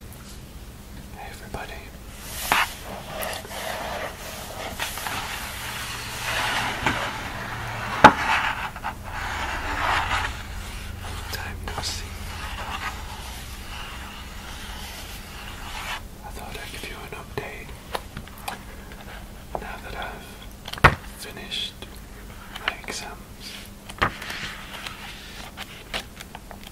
Hey everybody. Time no see. I thought I'd give you an update now that I've finished my exams.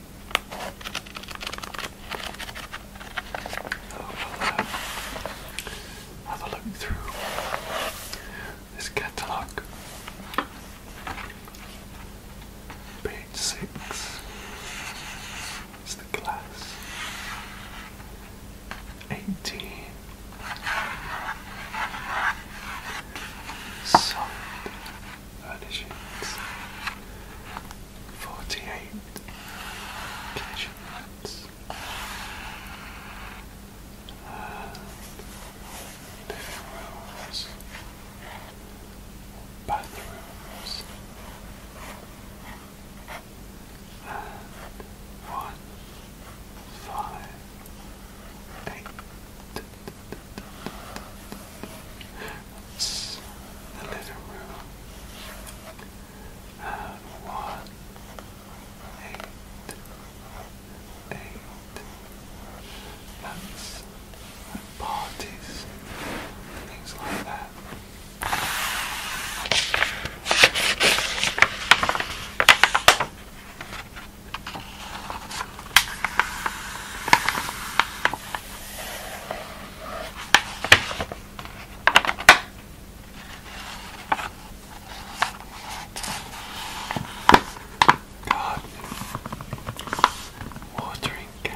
we'll, uh, have a look through this catalogue. Page six is the glass. Eighteen. Soft furnishings. 48 location nuts. rooms, bathrooms, and one, five, eight, the living room. And one, eight, eight. That's like parties, things like that. God, watering can.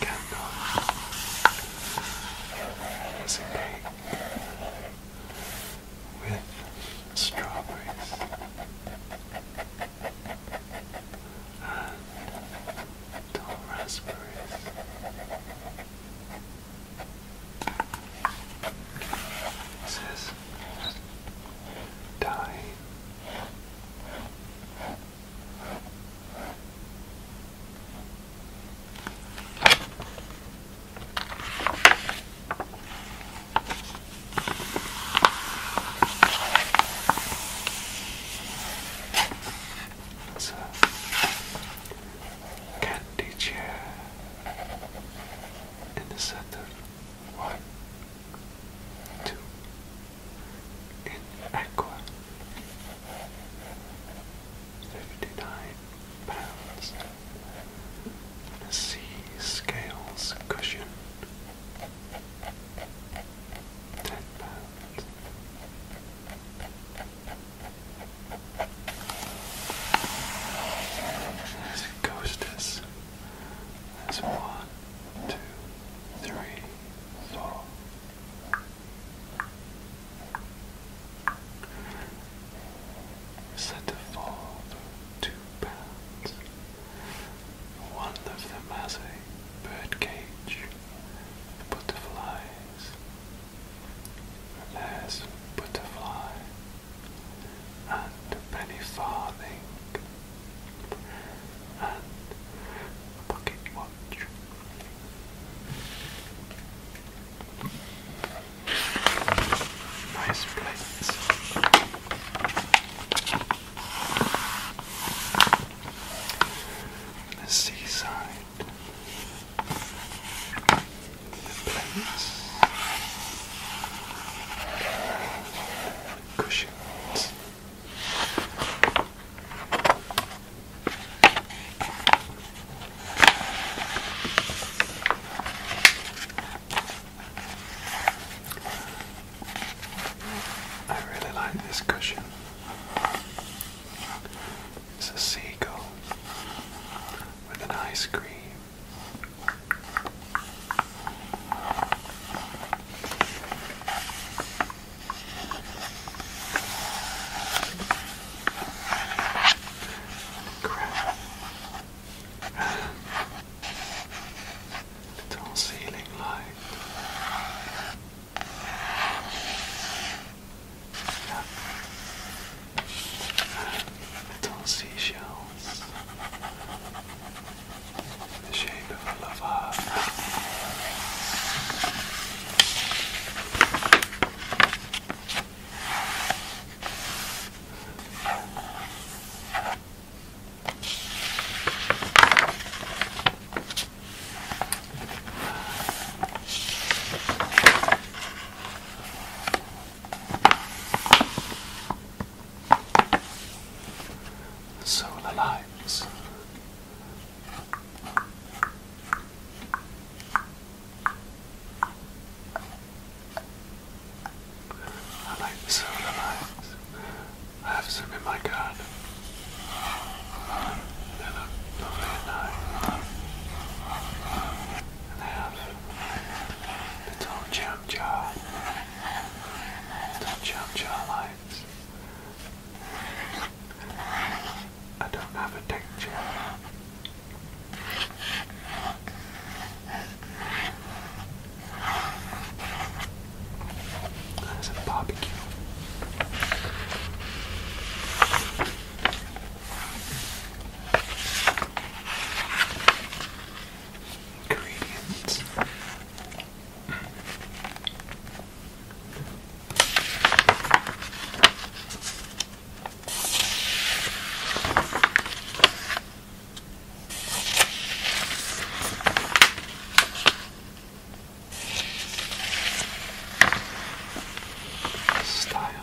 candle has a cake with strawberries and raspberries. This dying. It's a candy chair in the set one, two, in Aqua, fifty-nine pounds, and sea scales cushion, ten pounds. There's coasters. There's one, two, three, four. Set a fall of two pounds. One of them has a birdcage, butterflies. There's butterfly and penny farthing and pocket watch. Nice place, seaside. The plates. I really like this cushion. It's a seagull with an ice cream Crap. Little ceiling light. Yeah. Little seashells the shape of a love heart solar lights. I like the solar lights. I have some in my garden. They look lovely at night. And they have don't jump jaw. Don't jump jaw lights. I don't have a picture. There's a barbecue. Ingredients. Style.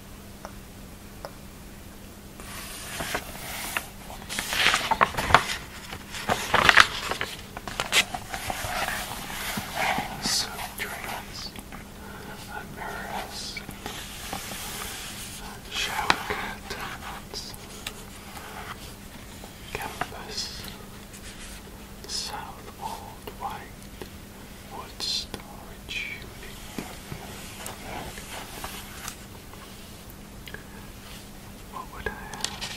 So dreams and mirrors, shower curtains, canvas, southward white. What storage unit. What would I have?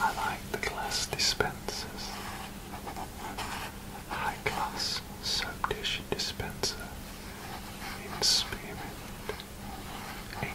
I like the glass dispensers. High class sub dish dispenser in spirit. Eight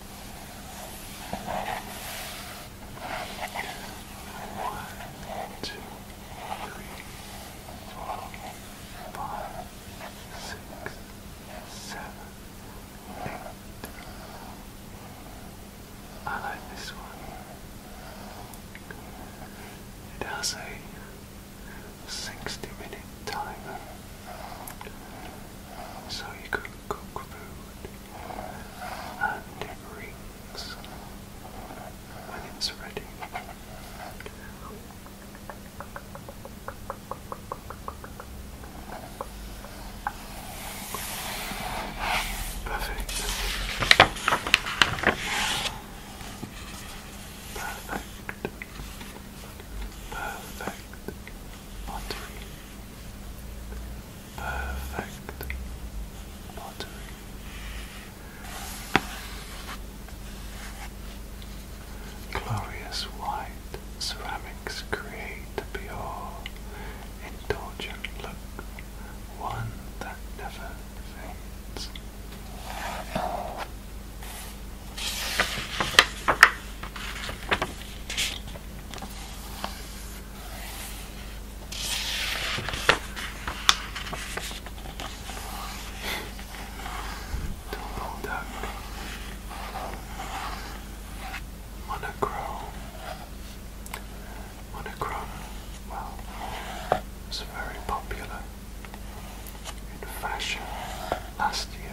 One, two, three, four, five, six, seven, eight. I like this one. It has a 60 minute timer so you can cook food and it when it's ready. Perfect. Perfect. Perfect pottery, perfect pottery. Glorious white ceramics create a pure, indulgent look, one that never fades. Monochrome. Monochrome, well, it's very popular in fashion last year.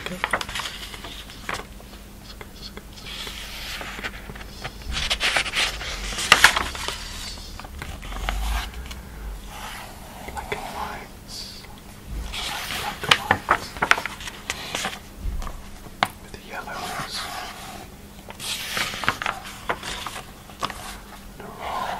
Okay. Black and white. Black and white with the yellows. The roll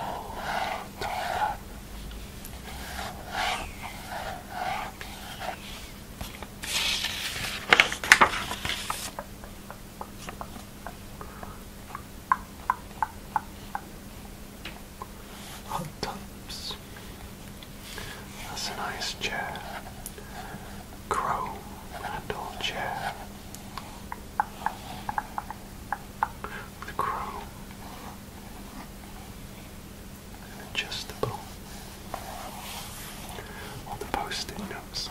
that's a nice chair. Chrome handle chair. With chrome. And adjustable. All the post-it notes.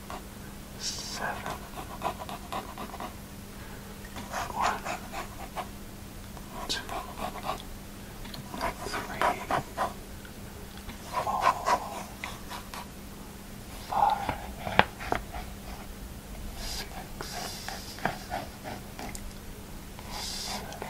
seven, one, two, three, four, five, six, seven, eight.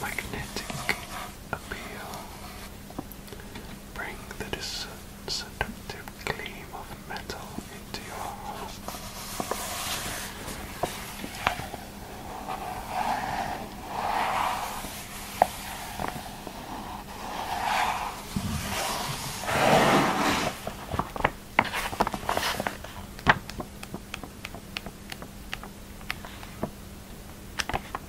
Magnetic appeal. Bring the seductive gleam of metal into your home.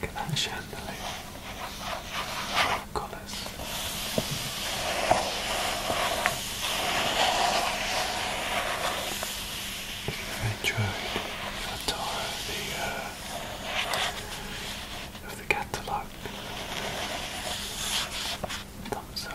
Look at that chandelier. Colours. If you tour of the, uh, of the catalogue, thumbs up.